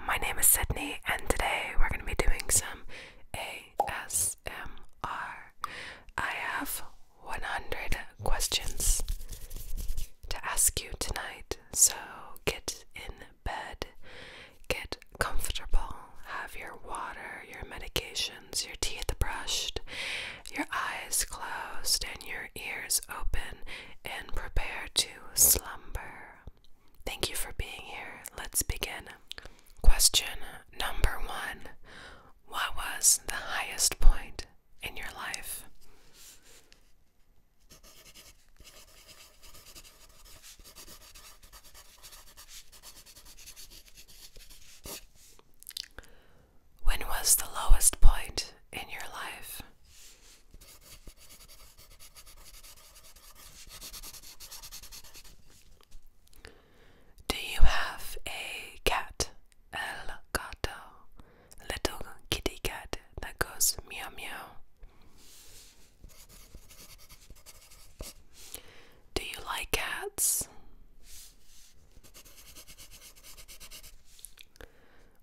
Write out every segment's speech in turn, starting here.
My name is Sydney, and today we're going to be doing some ASMR. I have 100 questions to ask you tonight, so get in bed, get comfortable, have your water, your medications, your teeth brushed, your eyes closed, and your ears open, and prepare to slumber. Thank you for being here. Let's begin. Question number one What was the highest point in your life? When was the lowest point in your life? Do you have a cat? El gato. Little kitty cat that goes meow meow. Do you like cats?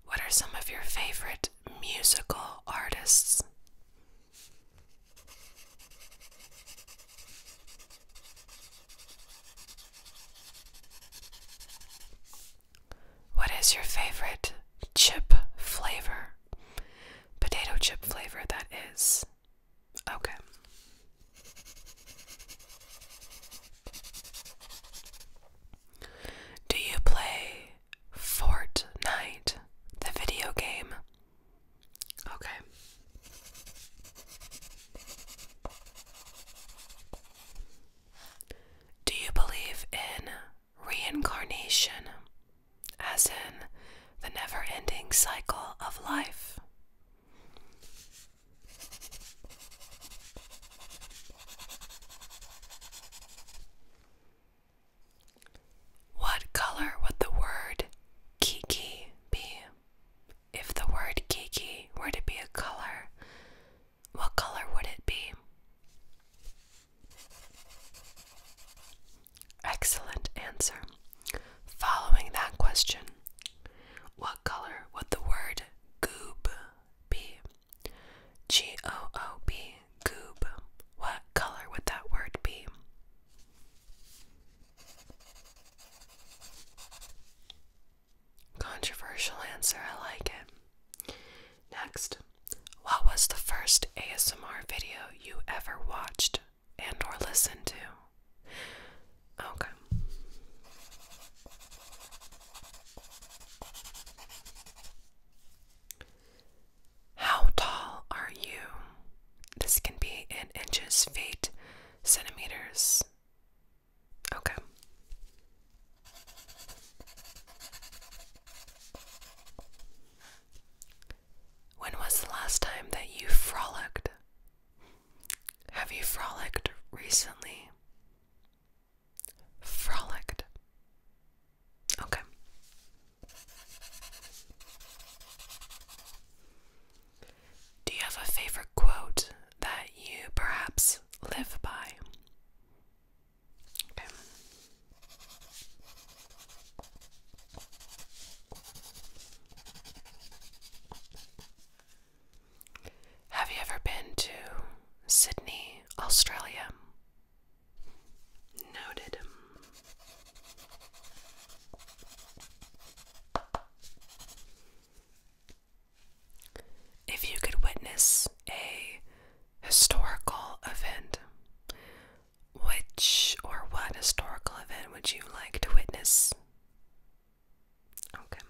What are some of your favorite musical artists. What is your favorite chip flavor? Potato chip flavor, that is. Okay. Do you play Fortnite, the video game. Okay. Do you believe in reincarnation, as in the never ending cycle of life? What color would the word Kiki be? If the word Kiki were to be a color, what color would it be? Excellent answer. Following that question, what color would the word goob be? G O O B, goob. What color would that word be? Controversial answer, I like it. Next, what was the first ASMR video you ever watched and or listened to? Okay. How tall are you? This can be in inches, feet, centimeters. Okay. When was the last time that you frolicked? Have you frolicked recently? Frolicked. Okay. Do you have a favorite quote that you perhaps live by? Have you ever been to Sydney, Australia? Noted. If you could witness a historical event, which or what historical event would you like to witness? Okay.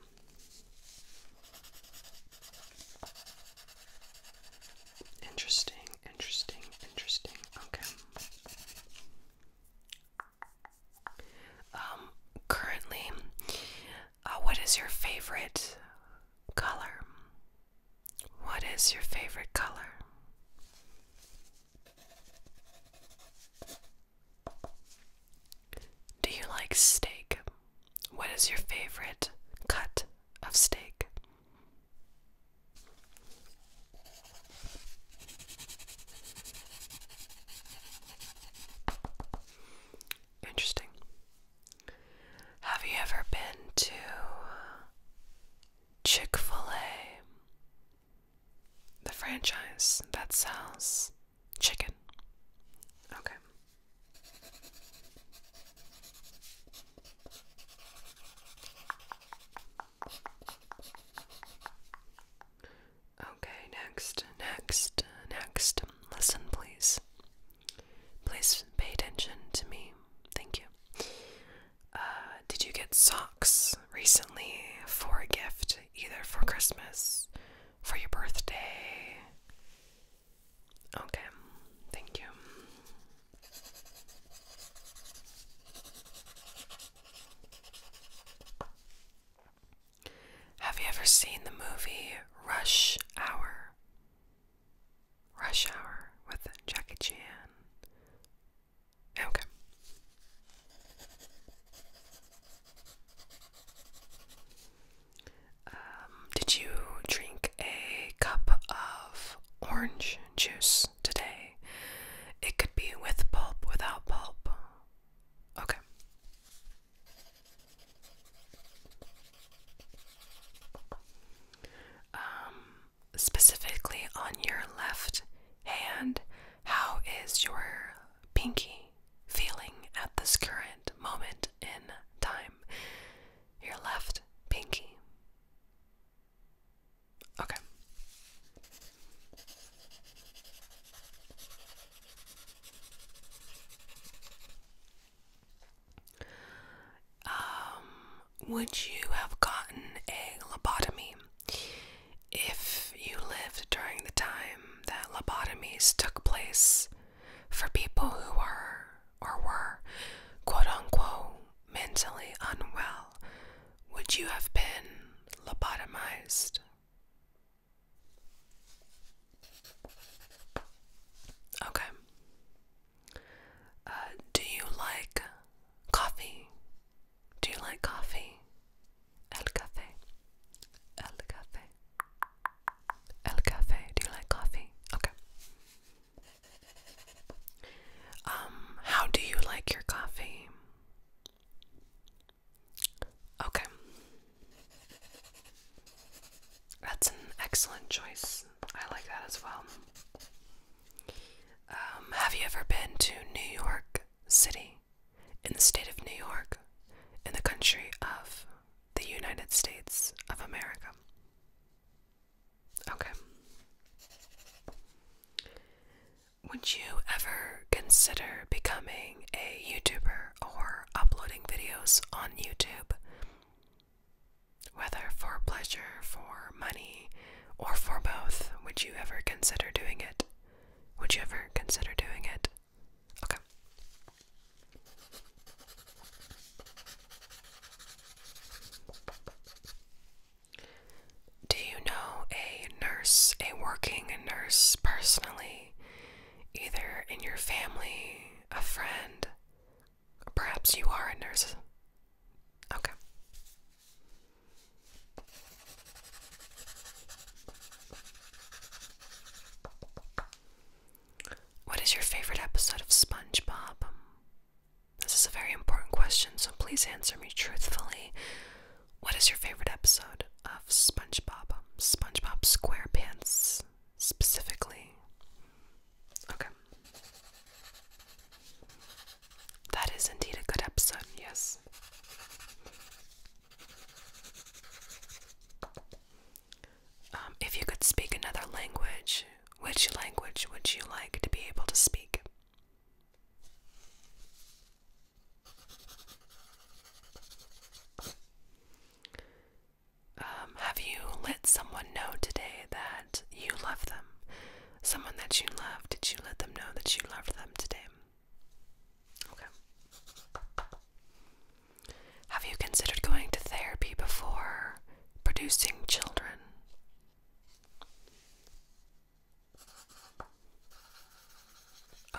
Interesting, interesting, interesting. Okay. Um, currently, uh, what is your favorite color? What is your favorite color? Do you like steak? What is your favorite cut of steak? Interesting. Have you ever been to Chick fil A? The franchise that sells chicken. Okay. Okay, next, next, next. Listen, please. Please pay attention to me. Thank you. Uh, did you get socks recently for a gift, either for Christmas, for your birthday, Okay, thank you. Have you ever seen the movie Rush Hour? Rush Hour with Jackie Chan. Okay. Um, did you drink a cup of orange juice today? It could be with pulp, without pulp. Okay. Um, specifically on your left hand, how is your pinky feeling at this current moment in time? your left pinky. Okay. Um, would you have gotten a lobotomy if you lived during the time that lobotomies took place for people who were or were quote unquote mentally unwell, would you have been lobotomized? Okay. Uh, do you like coffee? Do you like coffee? El café. El café. El café. Do you like coffee? Okay. Um, how do you like your coffee? Okay. That's an excellent choice. I like that as well. Um, have you ever been to New York City? In the state of New York? In the country of the United States of America? Okay. Would you ever consider becoming a YouTuber or uploading videos on YouTube? Whether for pleasure, for money, or for both, would you ever consider doing it? Would you ever consider doing it? Okay. Do you know a nurse, a working nurse personally, either in your family, a friend? Perhaps you are a nurse. Okay. What is your favorite episode of SpongeBob? This is a very important question, so please answer me truthfully. What is your favorite episode of SpongeBob? SpongeBob SquarePants specifically. Okay. That is indeed a good episode, yes. Um, if you could speak another language, which language would you like to be able to speak? Um, have you let someone know today that you love them? Someone that you love, did you let them know that you loved them today? Have you considered going to therapy before producing children?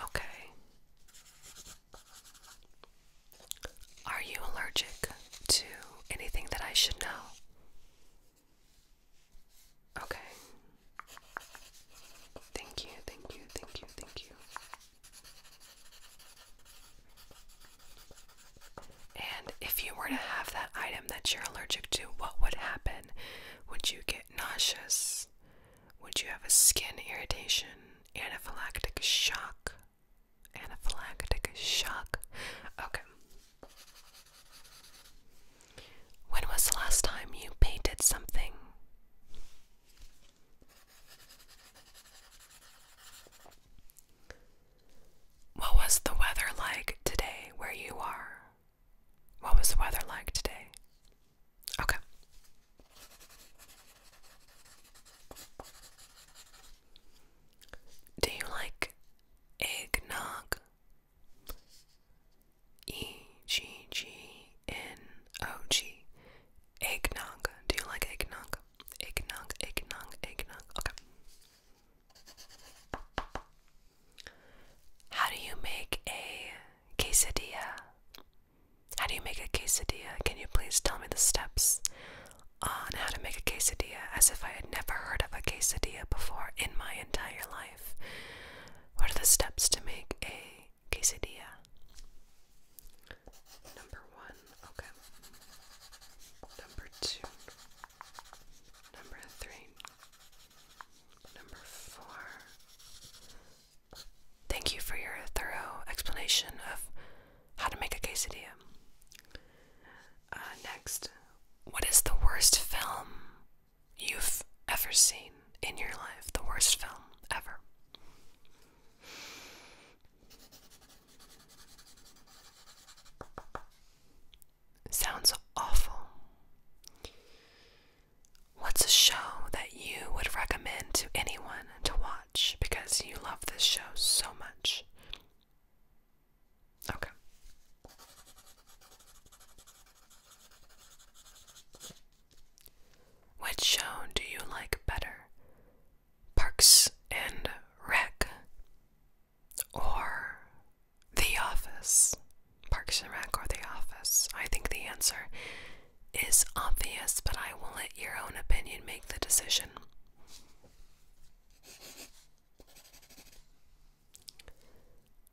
Okay. Are you allergic to anything that I should know? Okay. Thank you, thank you, thank you, thank you. And if you were to have that item that you're allergic to, what would happen? Would you get nauseous? Would you have a skin irritation? Anaphylactic shock? Anaphylactic shock? Okay. When was the last time you painted something? What was the weather like today where you are? What was the weather like today? Okay. Do you like eggnog? E G G N O G. Eggnog. Do you like eggnog? Eggnog, eggnog, eggnog. Okay. How do you make a quesadilla? How do you make a quesadilla? Can you please tell me the steps on how to make a quesadilla as if I had never heard of a quesadilla before in my entire life? What are the steps to make a quesadilla? Number one, Okay. Number two. Number three. Number four. Thank you for your thorough explanation of how to make a quesadilla. Uh, next, what is the worst film you've ever seen in your life? The worst film ever. Sounds awful. What's a show that you would recommend to anyone to watch because you love this show so much? Okay. Which show do you like better? Parks and Rec or The Office? Parks and Rec or The Office? I think the answer is obvious, but I will let your own opinion make the decision.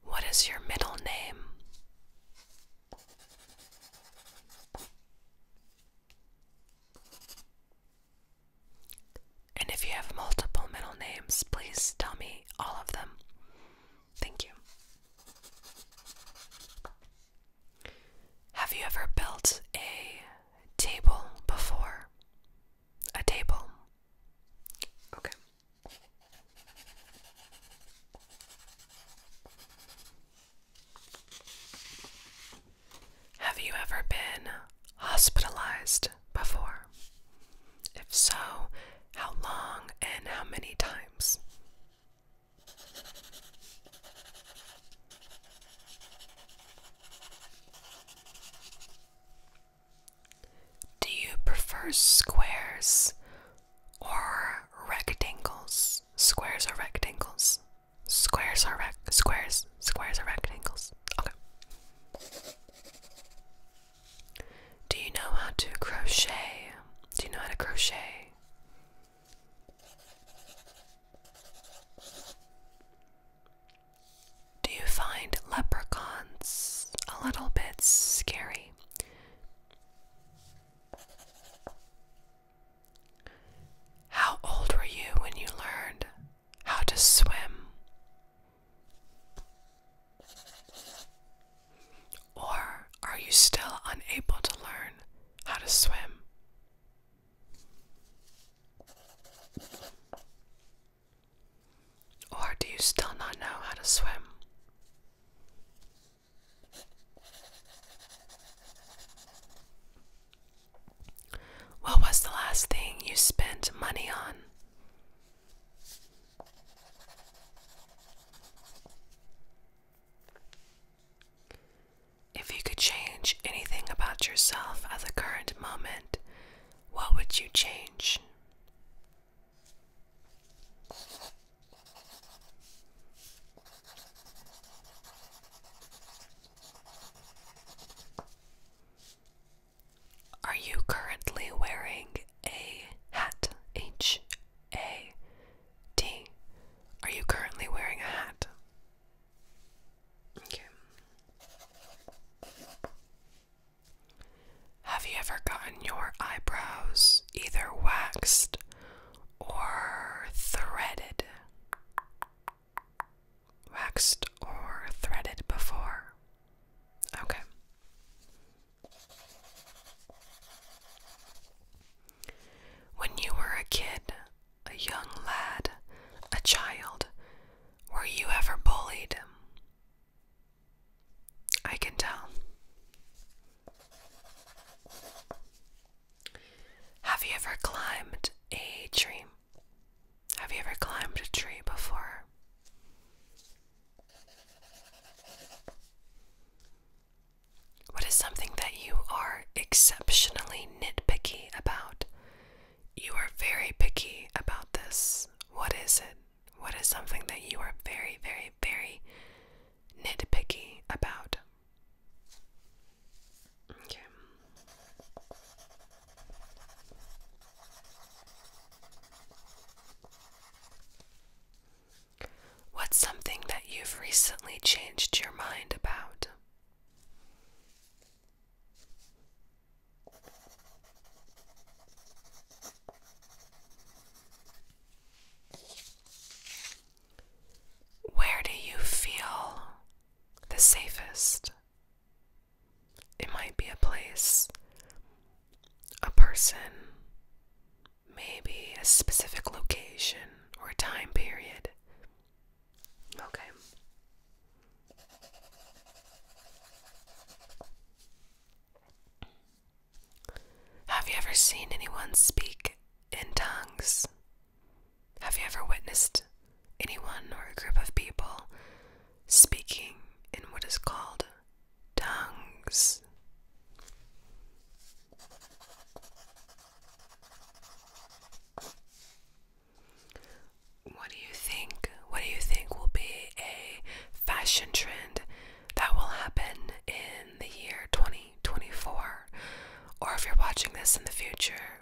What is your middle name? And if you have multiple middle names, please tell me all of them. Thank you. Have you ever built a table before? A table. Okay. Have you ever been hospitalized before? If so, how long and how many times? Do you prefer squares or rectangles? Squares or rectangles? Squares are rec- squares. Squares are rectangles. Okay. Do you know how to crochet? Do you know how to crochet? Do you find leprechauns a little bit scary? How old were you when you learned how to swim? Or are you still unable to learn how to swim? Or do you still not know how to swim? What was the last thing you spent money on? If you could change anything about yourself at the current moment, what would you change? Are you currently wearing a hat? H A T. Are you currently wearing a hat? Okay. Have you ever gotten your eyebrows either waxed or threaded? waxed or threaded before? Okay. When you were a kid, a young lad, a child, were you ever bullied? I can tell. Have you ever climbed a tree? Have you ever climbed a tree before? What is something that you are exceptionally nitpicky about? You are very picky about this. What is it? What is something that you are very, very, very nitpicky about? Okay. What's something that you've recently changed your mind about? Where do you feel the safest. It might be a place, a person, maybe a specific location or time period. Okay. Have you ever seen anyone speak in tongues? Have you ever witnessed anyone or a group of people speaking in what is called tongues? What do you think? What do you think will be a fashion trend that will happen in the year 2024? Or if you're watching this in the future,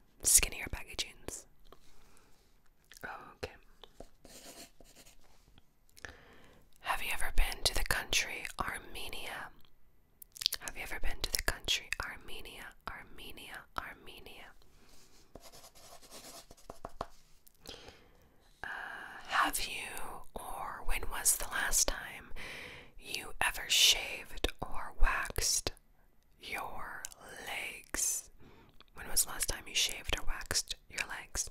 skinnier baggy jeans. Okay. Have you ever been to the country Armenia? Have you ever been to the country Armenia? Armenia, Armenia. Uh, have you, or when was the last time you ever shaved or waxed your legs. When was the last time you shaved or waxed your legs?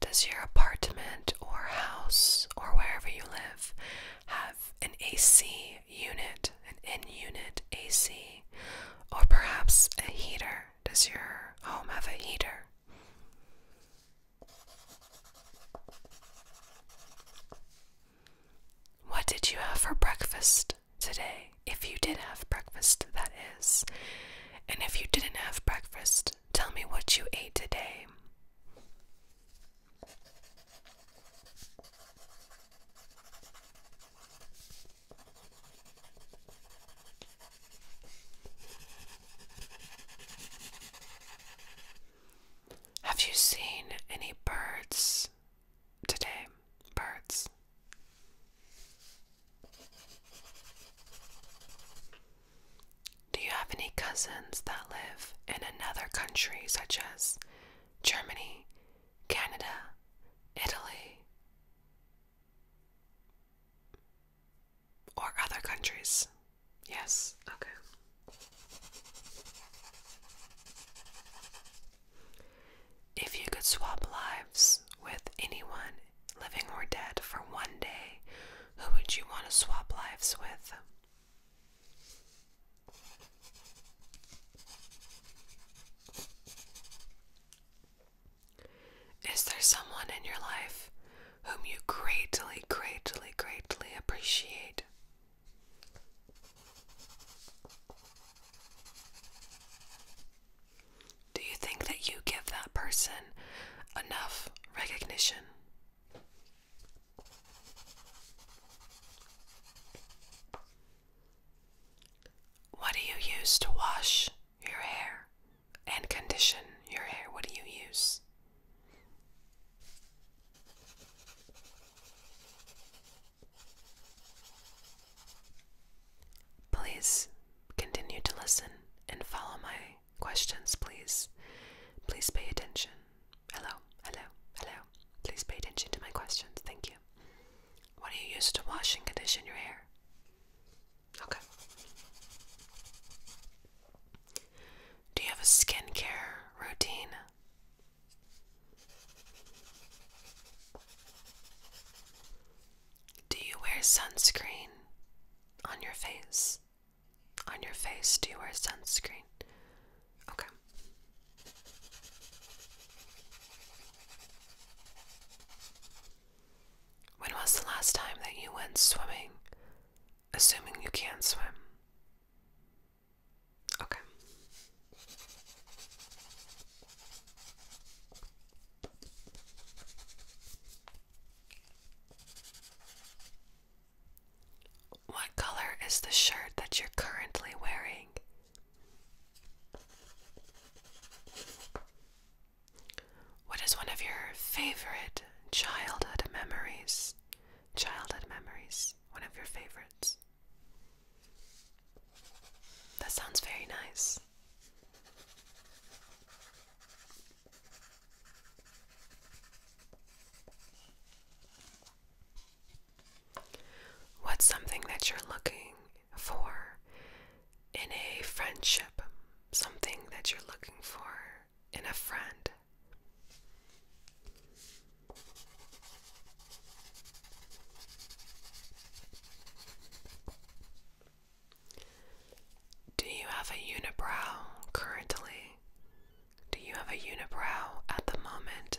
Does your apartment or house or wherever you live have an AC unit, an in unit AC, or perhaps a heater? Does your home have a heater? What did you have for breakfast today? If you did have breakfast, that is. And if you didn't have breakfast, tell me what you ate today. Have you seen any birds today? Birds. Do you have any cousins that live in another country, such as Germany, Canada, Italy? Or other countries. Yes, okay. If you could swap lives with anyone, living or dead, for one day, who would you want to swap lives with? Is there someone in your life whom you greatly, greatly, greatly appreciate. Do you think that you give that person enough recognition? What do you use to wash your hair and condition your hair. What do you use? Please continue to listen and follow my questions, please. Please pay attention. Hello, hello, hello. Please pay attention to my questions. Thank you. What do you use to wash and condition your hair? Okay. Do you have a skincare routine? Do you wear sunscreen on your face? On your face, do you wear sunscreen? Okay. When was the last time that you went swimming? Assuming you can swim. Okay. What color is the shirt that you're currently wearing? What is one of your favorite childhood memories? Childhood memories, one of your favorites. That sounds very nice. What's something that you're looking for in a friendship, something that you're looking for in a friend. Do you have a unibrow currently? Do you have a unibrow at the moment?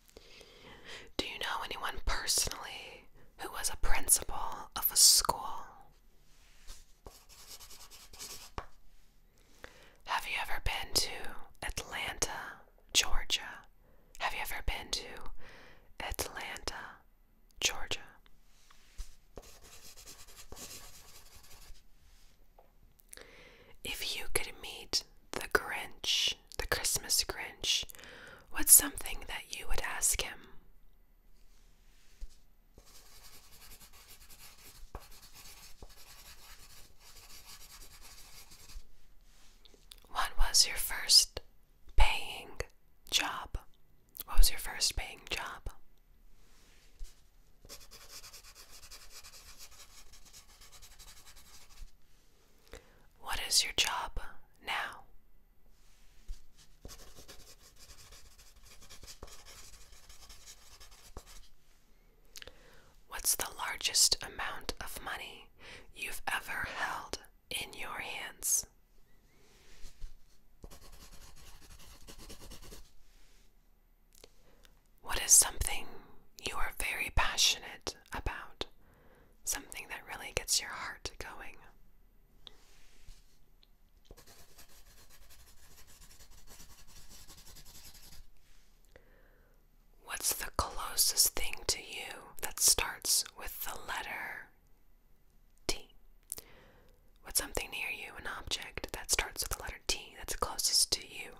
Do you know anyone personally who was a principal of a school? Have you ever been to Atlanta, Georgia? Have you ever been to Atlanta, Georgia? If you could meet the Grinch, the Christmas Grinch, what's something that you would ask him? What was your first paying job? What was your first paying job? What is your job now? What's the largest amount of money you've ever held in your hands? What is something you are very passionate about? Something that really gets your heart going. What's the closest thing to you that starts with the letter T? What's something near you, an object that starts with the letter T that's closest to you?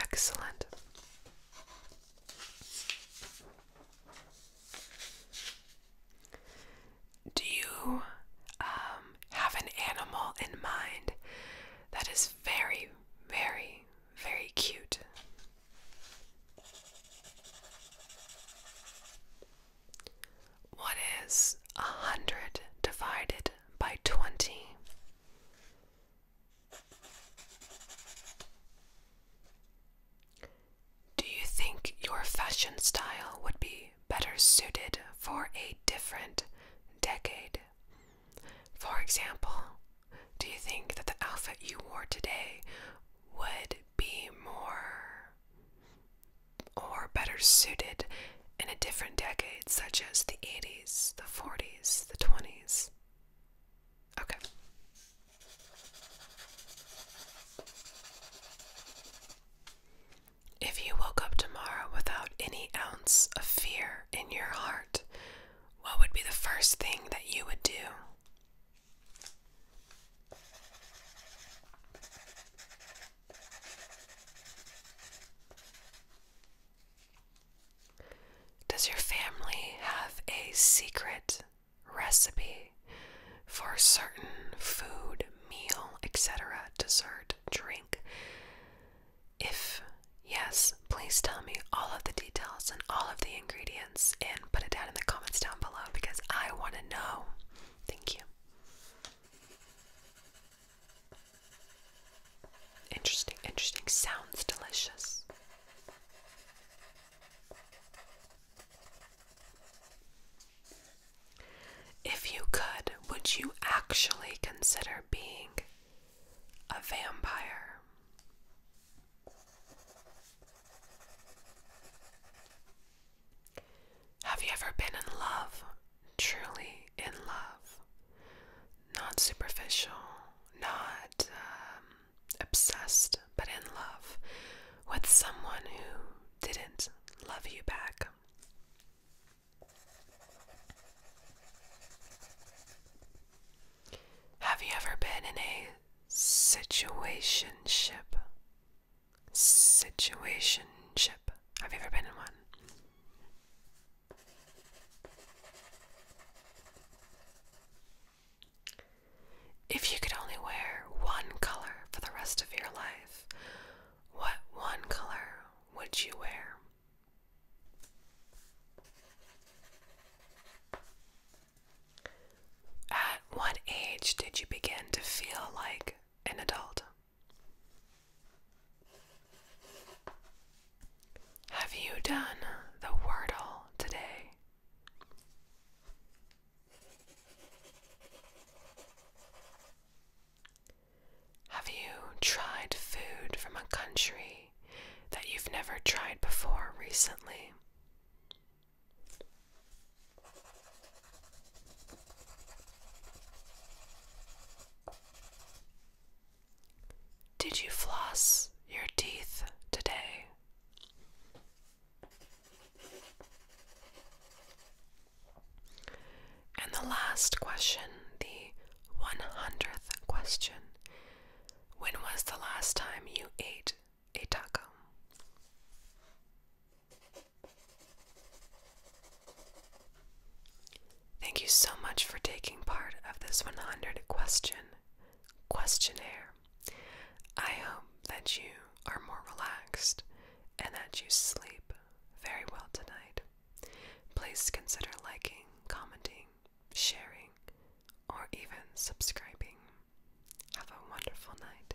Excellent. Do you um, have an animal in mind that is very, very, very cute? What is a hundred divided by twenty? Do you think your fashion style would be better suited for a different decade? For example, do you think that the outfit you wore today would be more or better suited in a different decade, such as the 80s, the 40s, the 20s. Okay. If you woke up tomorrow without any ounce of fear in your heart, what would be the first thing that you would do? Does your family have a secret recipe for certain food, meal, etc., dessert, drink? If yes, please tell me all of the details and all of the ingredients and put it down in the comments down below because I want to know. Thank you. Interesting, interesting. Sounds delicious. If you could, would you actually consider being a vampire? Have you ever been in love? Truly in love. Not superficial, not um, obsessed, but in love with someone who didn't love you back. Have you ever been in a situationship? Situation chip. Have you ever been in one? If you could only wear one color for the rest of your life, what one color would you wear? At what age did you begin to feel like an adult? Have you done the Wordle today? Have you tried food from a country that you've never tried before recently? Did you floss your teeth today? And the last question, the 100th question When was the last time you ate a taco? Thank you so much for taking part of this 100 question questionnaire. I hope that you are more relaxed and that you sleep very well tonight. Please consider liking, commenting, sharing, or even subscribing. Have a wonderful night.